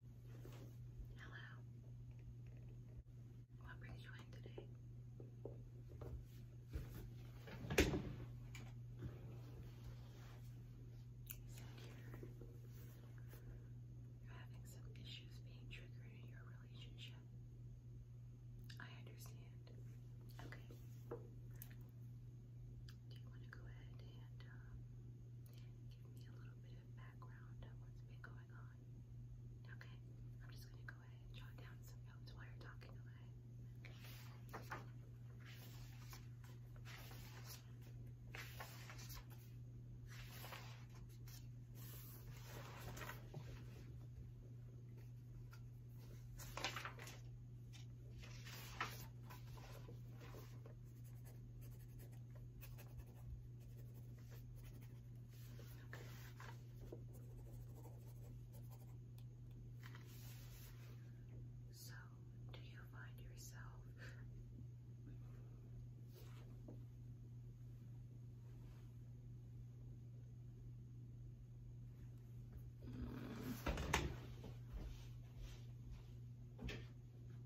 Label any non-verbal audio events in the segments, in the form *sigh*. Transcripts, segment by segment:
Hello. What brings you in today? you're, having some issues being triggered in your relationship. I understand. Okay. Do you want to go ahead and uh, give me a little bit of background on what's been going on. Okay, I'm just going to go ahead and jot down some notes while you're talking away. So, do you find yourself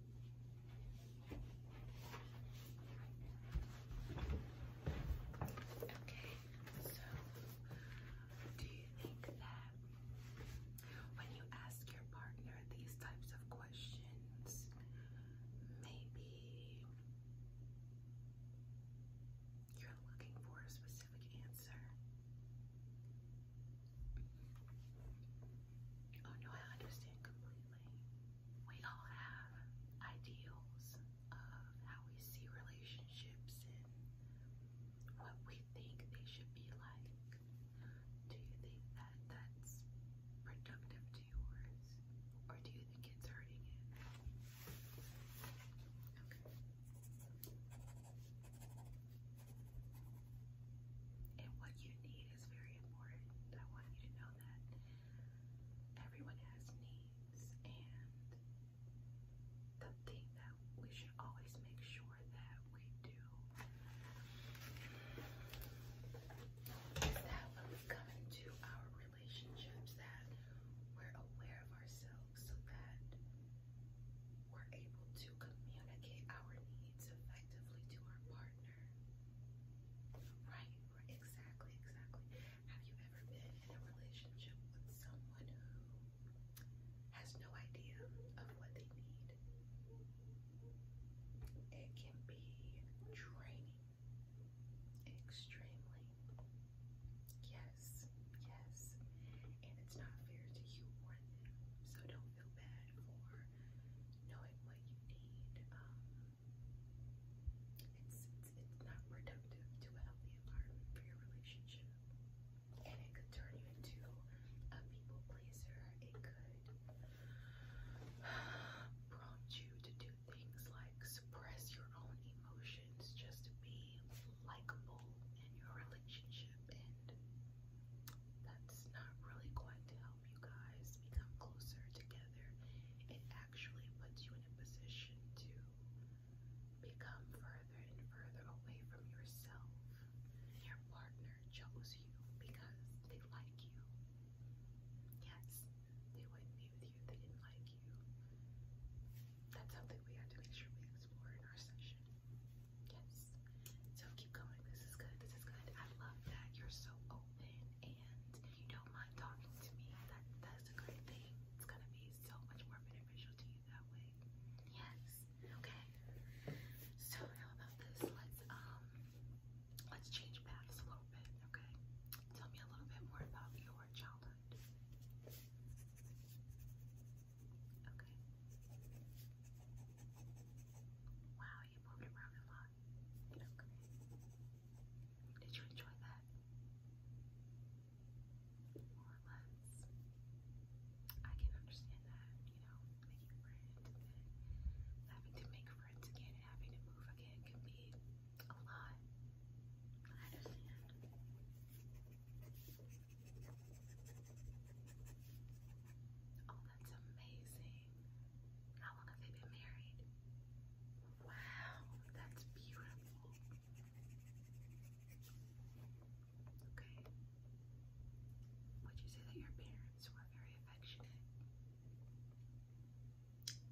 Okay, so do you think that when you ask your partner these types of questions, maybe you're looking for a specific answer? Oh no, I understand completely we all have ideals of how we see relationships and what we think they should be like. Do you think that that's productive to yours? Or do you think it's hurting it? Okay. And what you need is very important. I want you to know that everyone has needs, and the thing that we should always make sure that we do is that when we come into our relationships, that we're aware of ourselves so that we're able to communicate our needs effectively to our partner. Right, exactly, exactly. Have you ever been in a relationship with someone who has no idea of what they need? It can be draining, extremely. Yes, yes. And it's not fair to you So don't feel bad knowing what you need. Um, it's, it's, it's not reductive to a healthy environment for your relationship. And it could turn you into a people pleaser. It could prompt you to do things like suppress your own emotions just to be likable in your relationship. And that's not really going to help help you guys become closer together. It actually puts you in a position to become further and further away from yourself. Your partner chose you because they like you. Yes, they wouldn't be with you if they didn't like you. That's something we had to make sure we explore in our session. Yes. So keep going. This is good. This is good. I love that you're so open and you don't mind talking to me. That that's a great thing. It's gonna be so much more beneficial to you that way. Yes. Okay. So how about this? Let's um let's change paths a little bit. Okay. Tell me a little bit more about your childhood. Okay. Wow, saw you around a lot. Did you enjoy that? More or less. I can understand that, you know, making friends having to make friends again and having to move again can be a lot. I understand. Oh, that's amazing. How long have they been married? Wow, that's beautiful. Okay. Would you say that your parents were very affectionate?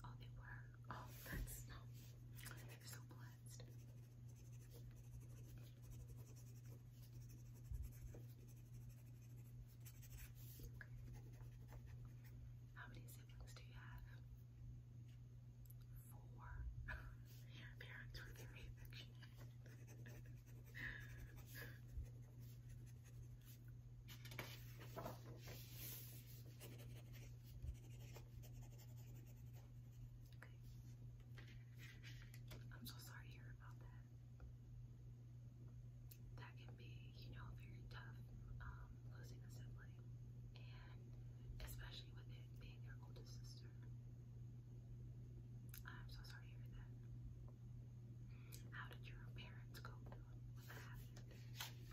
Oh, they were. Oh, that's so blessed. How many siblings do you have? Four. *laughs* Your parents were very affectionate. Okay. I'm so sorry about that that can be, you know, very tough um, losing a sibling, and especially with it being your oldest sister. I'm so sorry to hear that. How did your parents cope with that?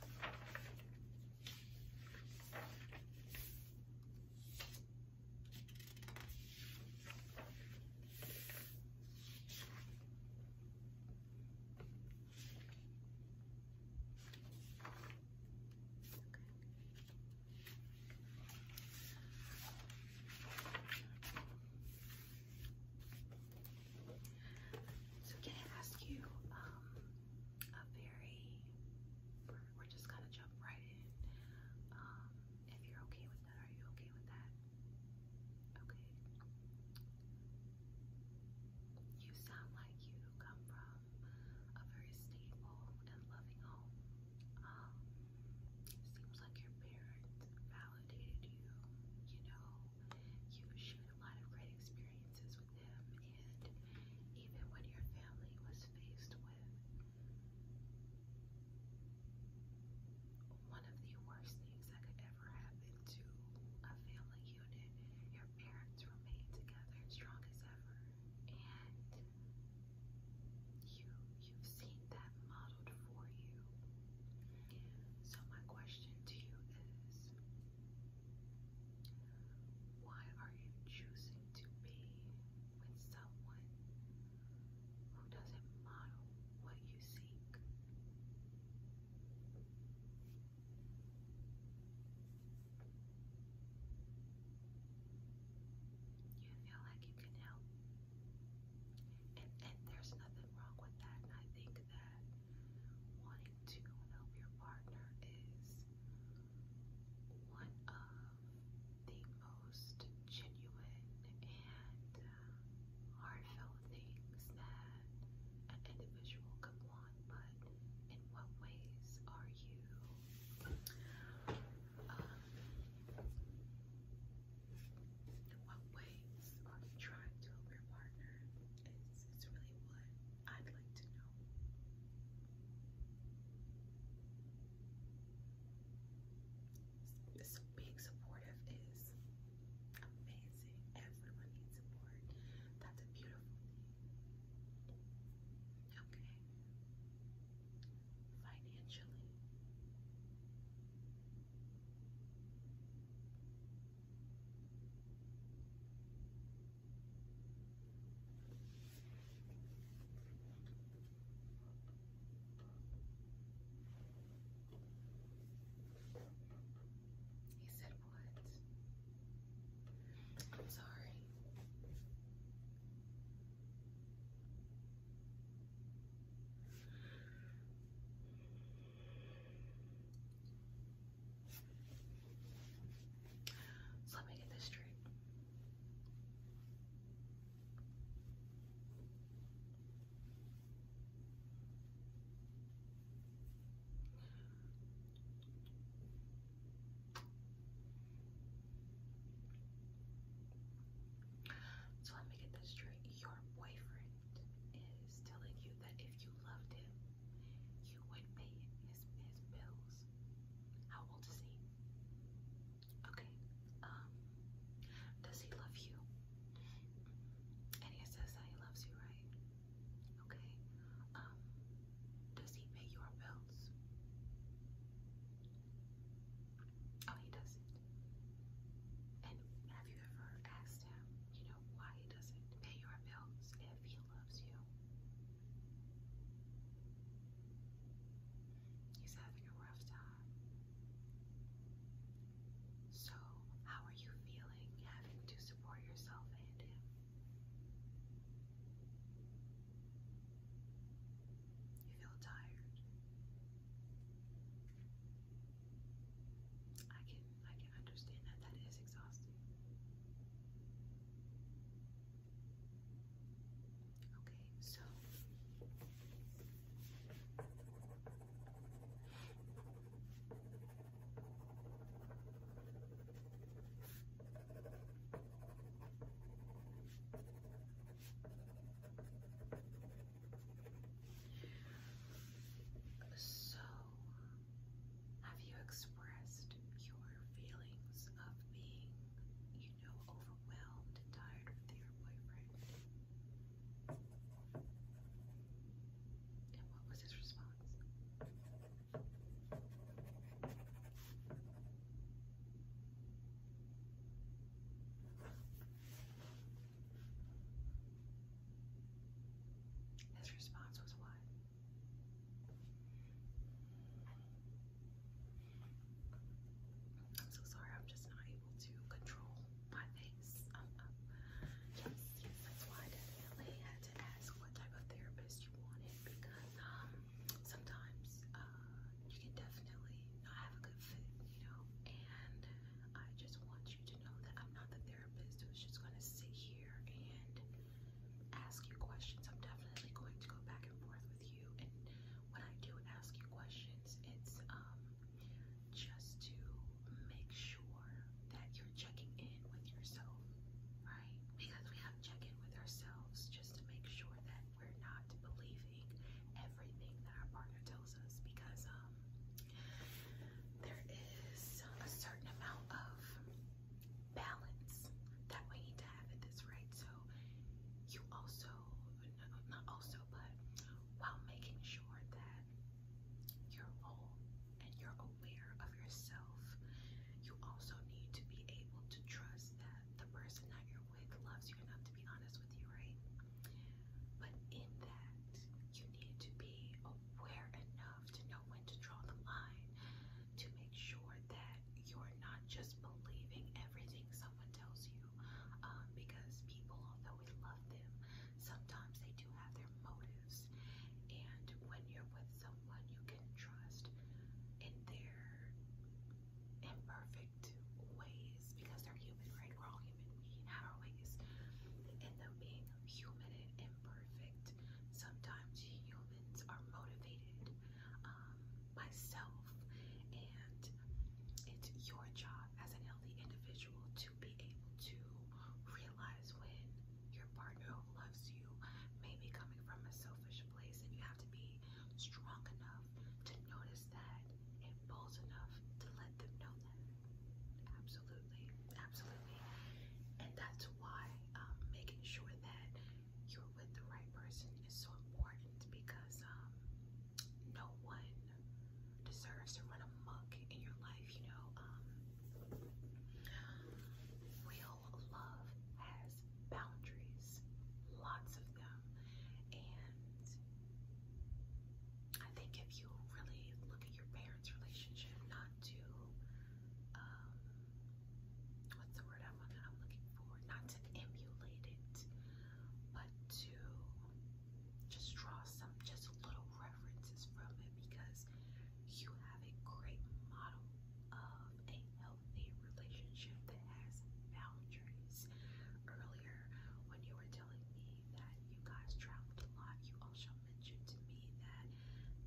Okay. So can I ask you um, a very, we're, just gonna jump right in. Um, if you're okay with that, are you okay with that? Okay. You sound like you come from a very stable and loving home. Um, seems like your parents validated you, you know, you shared a lot of great experiences with them, and even when your family was faced with one of the worst things that could ever happen to a family unit. Your parents remain together strong as ever. And you you've seen that modeled for you. So my question to you is why are you choosing to be with someone who doesn't matter what you seek. You feel like you can help. And, and there's nothing wrong with that. I think that wanting to help your partner is one of the most genuine and uh, heartfelt things that an individual could want, but in what ways are you um, in what ways are you trying to help your partner? It's, it's really what I'd like to know. So being supportive is amazing. Everyone needs support. That's a beautiful thing. Okay. Financially. He said, What? I'm sorry. So let me get this straight. So let me get this straight. Your boyfriend is telling you that if you loved him, you would pay his, bills. How old is he? Okay. Um, does he love you? And he says that he loves you, right? Okay. Um, does he pay your bills? Oh, he doesn't. And have you ever asked him, you know, why he doesn't pay your bills if he loves you? He's having a rough time. So, how are you feeling having to support yourself and him? You feel tired. I can I can understand that that is exhausting. Okay, so so, have you expressed your feelings of being, you know, overwhelmed and tired with your boyfriend? And what was his response? His response was what? I'm so sorry, I'm just not able to control my face. Um, um, yes, yes, that's why I definitely had to ask what type of therapist you wanted because um, sometimes uh, you can definitely not have a good fit, you know. And I just want you to know that I'm not the therapist who's just going to sit here and ask you questions. I'm definitely going to go back and forth with you and when I do ask you questions, it's um just to make sure that you're checking in with yourself, right? Because we have to check in with ourselves just to make sure that we're not believing everything that our partner tells us because um there is a certain amount of balance that we need to have in this, right? So you also also, not also, but while making sure that you're whole and you're aware of yourself, you also need to be able to trust that the person that you're with loves you enough to be honest with you, right? But in that, you need to be aware enough to know when to draw the line, to make sure that you're not just believing everything someone tells you you um, because people, although we love them, sometimes they do have their motives. And when you're with someone you can trust in their imperfect ways, because they're human, right? We're all human. We can have our ways. And though being human and imperfect, sometimes humans are motivated um, myself, and it's your job as an healthy individual to be able to realize when your partner who loves you may be coming from a selfish place, and you have to be strong enough to notice that and bold enough to let them know that. Absolutely, absolutely, and that's why um, making sure that you're with the right person is so important because um, no one deserves to run amok in your life, you know. Um, real love has boundaries, lots of them, and I think if you really look at your parents' relationship, not to um, what's the word I'm, I'm looking for, not to emulate it, but to just draw some just little references from it because you have a great model of a healthy relationship that has boundaries. Earlier, when you were telling me that you guys traveled a lot, you also mentioned to me that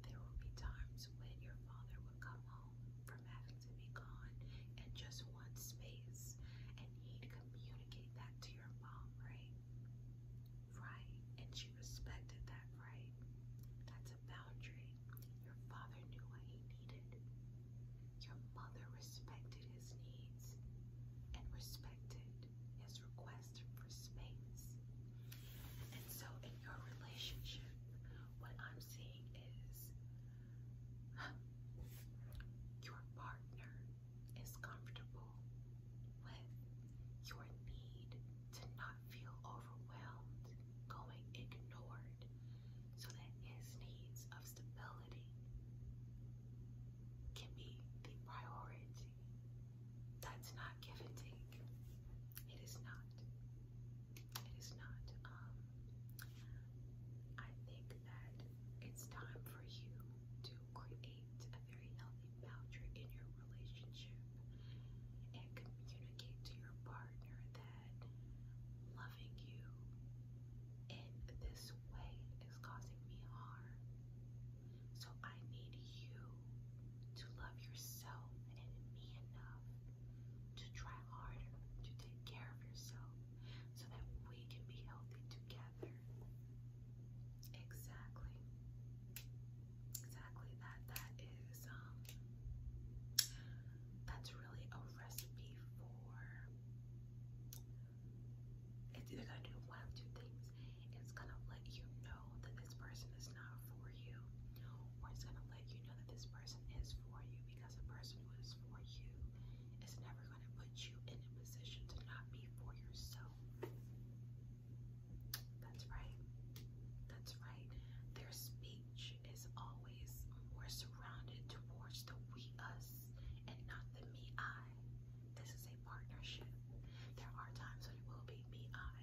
there would be times when your father would come home from having to be gone and just one space and he'd communicate that to your mom, right? Right. And she respected that, right? That's a boundary. Your father knew what he needed. Your mother respected his needs and respected his request for space. And so in your relationship, what I'm seeing is your partner is comfortable with your need to not feel overwhelmed, going ignored, so that his needs of stability can be the priority. That's not give and take. It is not. It is not. Um, I think that it's time for you to create a very healthy boundary in your relationship and communicate to your partner that loving you in this way is causing me harm. So I need you to love yourself and me enough to try harder to take care of yourself so that we can be healthy together. Exactly. Exactly that. That is um, that's really a recipe for it's either gonna do one of two things. It's gonna let you know that this person is not for you, or it's gonna let you know that this person is for you because a person who is for you is never going to put you in a position to not be for yourself. That's right. That's right. Their speech is always more surrounded towards the we us and not the me I. This is a partnership. There are times when it will be me I.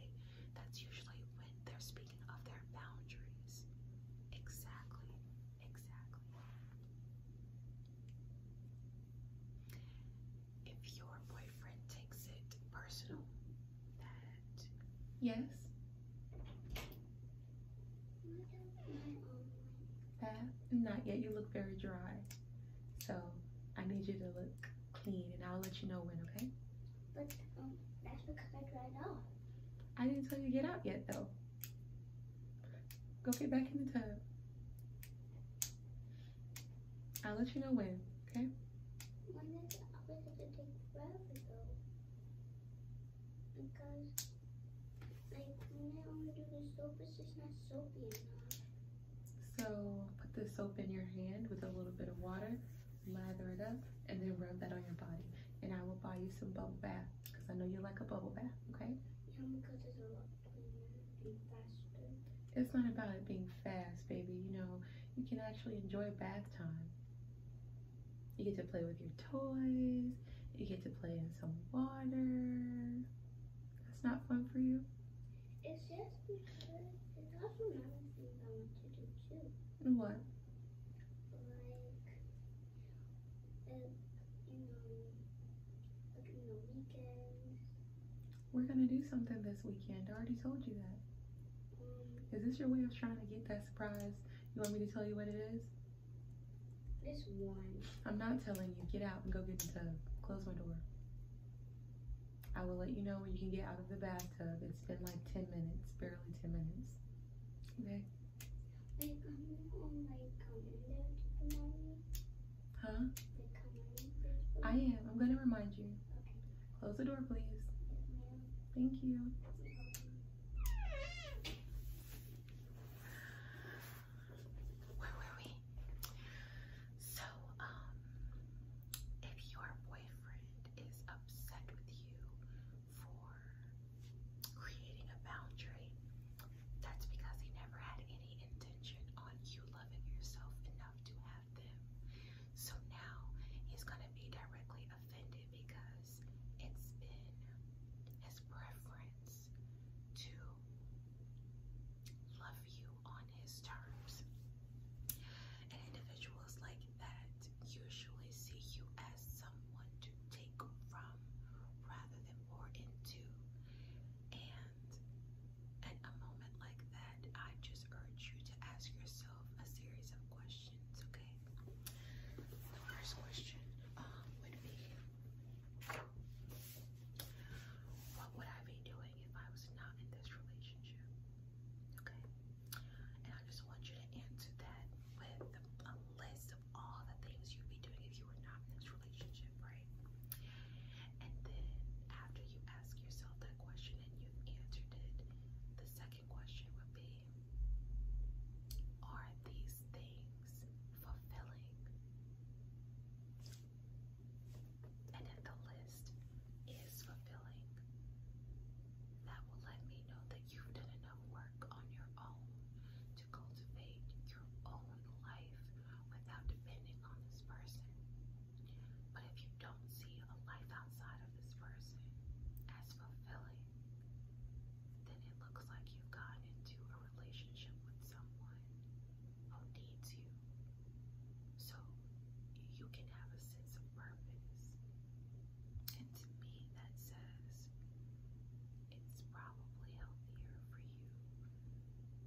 That's usually when they're speaking of their boundaries. Exactly. Exactly. If your boyfriend takes it personal, that. Yes. That? Not yet. You look very dry. So I need you to look clean and I'll let you know when, okay? But um, that's because I dried off. I didn't tell you to get out yet, though. Go get back in the tub. I'll let you know when, okay? Because, like, when I only do the soap, it's just not soapy enough. So, put the soap in your hand with a little bit of water, lather it up, and then rub that on your body. And I will buy you some bubble bath. Because I know you like a bubble bath, okay? Yeah, because it's a lot cleaner, being faster. It's not about it being fast, baby. You know, you can actually enjoy bath time. You get to play with your toys. You get to play in some water. That's not fun for you? It's just because it's also another thing I want to do too. What? Like we're gonna do something this weekend. I already told you that. Is this your way of trying to get that surprise? You want me to tell you what it is? It's one. I'm not telling you. Get out and go get the tub. Close my door. I will let you know when you can get out of the bathtub. It's been like 10 minutes, barely 10 minutes. Okay? I'm Huh? I am. I'm gonna remind you. Close the door, please. Thank you. Where were we? So, um, if your boyfriend is upset with you for creating a boundary, that's because he never had any intention on you loving yourself enough to have them. So now he's going to be directly offended because it's been his preference to love you on his terms. And individuals like that usually see you as someone to take from rather than pour into. And at a moment like that, I just urge you to ask yourself a series of questions, okay? The first question um, would be What would I be doing if I was not in this relationship? Okay? And I just want you to answer that with a list of all the things you'd be doing if you were not in this relationship, right? And then after you ask yourself that question and you've answered it, the second question would be Are these things fulfilling? And if the list is fulfilling, that will let me know that you've done enough work on your own to cultivate your own life without depending on this person. But if you don't see a life outside of this person as fulfilling, then it looks like you've gotten into a relationship with someone who needs you. So you can have a sense of purpose. And to me, that says it's probably healthier for you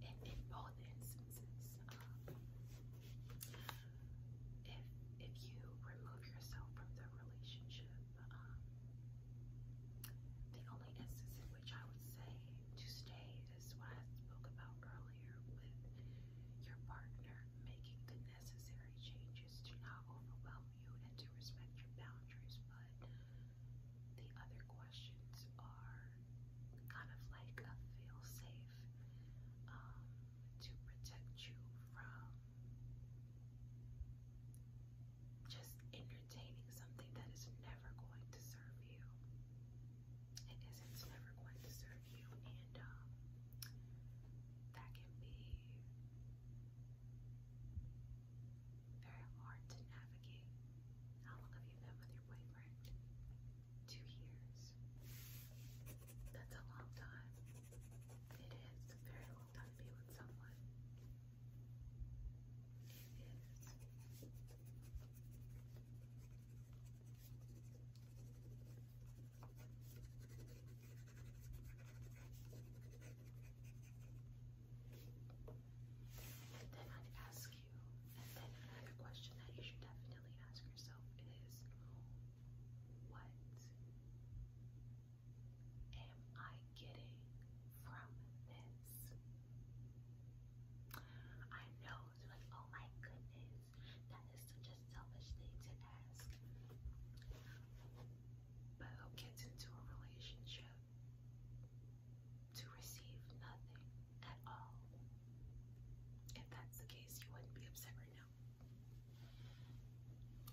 in, in both instances. Um, if if you remove yourself from the relationship, um, the only instance in which I would say to stay is what I spoke about earlier with your partner making the necessary changes to not overwhelm you and to respect your boundaries, but the other questions are kind of like a feel safe um, to protect you from just entertaining something that is never going to serve you. It isn't never going to serve you, and um, that can be very hard to navigate. How long have you been with your boyfriend? Two years. That's a long time. It is a very long time to be with someone. It is. Then I'd ask you, and then another question that you should definitely ask yourself is what am I getting from this? I know it's like, oh my goodness, that is such a selfish thing to ask but who gets into a relationship to receive nothing at all. If that's the case, you wouldn't be upset right now.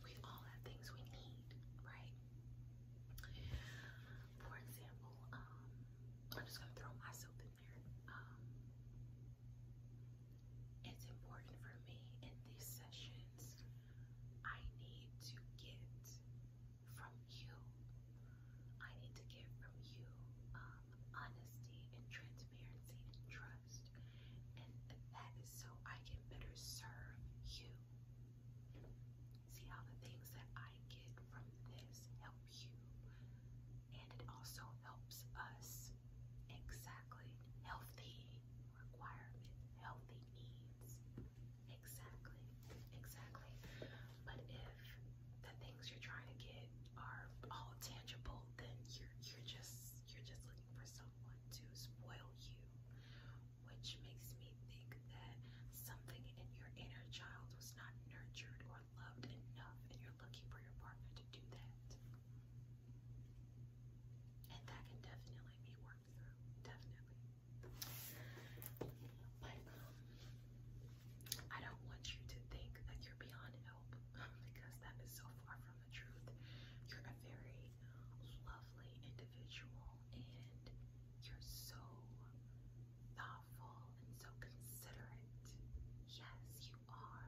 We all have things we need, right? For example, um, I'm just gonna throw myself in there. Um, it's important for me in these sessions I need to get from you. I need to get from you um, honesty and transparency and trust. And that is so I can better serve you. See how the things that I get from this help you. And it also helps us exactly healthy requirement, healthy needs. Exactly, exactly. But if the things you're trying to get are all tangible, then you're you're just you're just looking for someone to spoil you, which makes me think that something in your inner child was not nurtured or loved enough, and you're looking for your partner to do that. And that can definitely be work through, definitely. But um, I don't want you to think that you're beyond help *laughs* because that is so far from the truth. You're a very lovely individual and you're so thoughtful and so considerate. Yes, you are.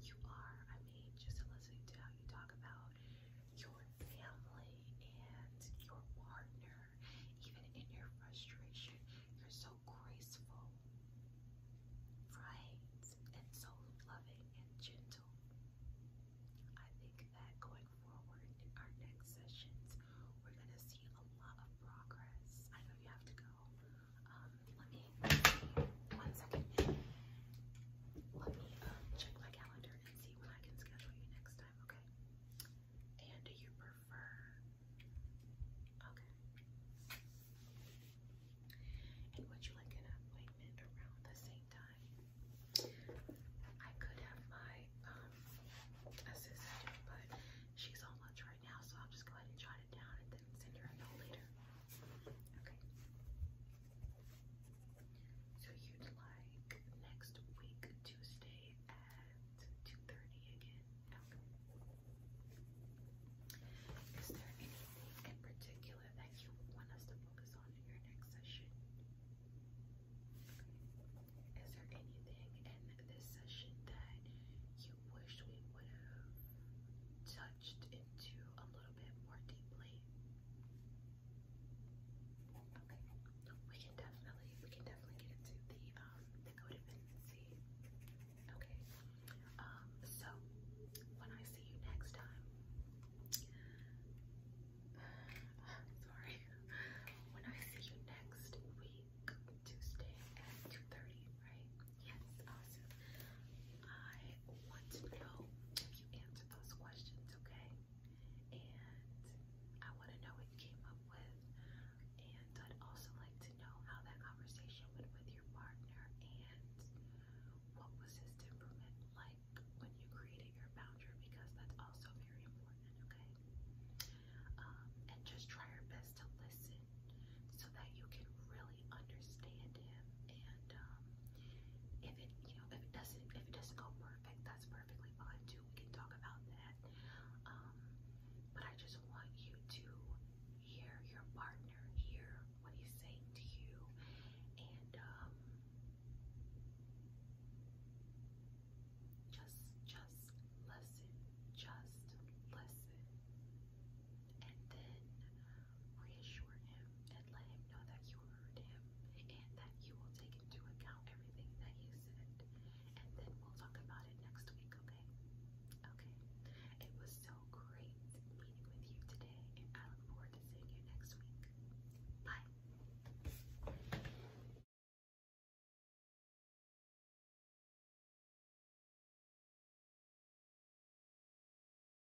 You are. I mean, just listening to how you talk about your family and your partner, even in your frustration. You're so graceful, right? And so loving and gentle. I think that going forward our next sessions, we're going to see a lot of progress. I know you have to go. Um, let me One second. Let me um, check my calendar and see when I can schedule you next time, okay? And do you prefer? Okay. And would you like an appointment around the same time? I could have my um, assistant, but she's on lunch right now, so I'll just go ahead and jot it down and then send her a note later. Okay. So you'd like next week, Tuesday at 2.30 again? Is there anything in particular that you want us to focus on in your next session? Is there anything in this session that you wish we would have touched into a little bit more deeply? Okay. We can definitely we can definitely get into the um, the codependency. Okay. Um so when I see you next time *sighs* sorry. When I see you next week, Tuesday at 2.30, right? Yes, awesome. I want to know if you answered answer those questions, okay? And I want to know what you came up with. And I'd also like to know how that conversation went with your partner and what was his temperament like when you created your boundary because that's also very important, okay? Um, and just try your best to listen so that you can really understand him and um, if it, you know, if it doesn't, if it doesn't go perfect, that's perfectly fine too. We can talk about that. Um, but I just want you to hear your partner, hear what he's saying to you, and um, just, just listen, just listen, and then reassure him and let him know that you heard him and that you will take into account everything that he said. And then we'll talk about it next week, okay? Okay. It was so great meeting with you today, and I look forward to seeing you next week. Bye.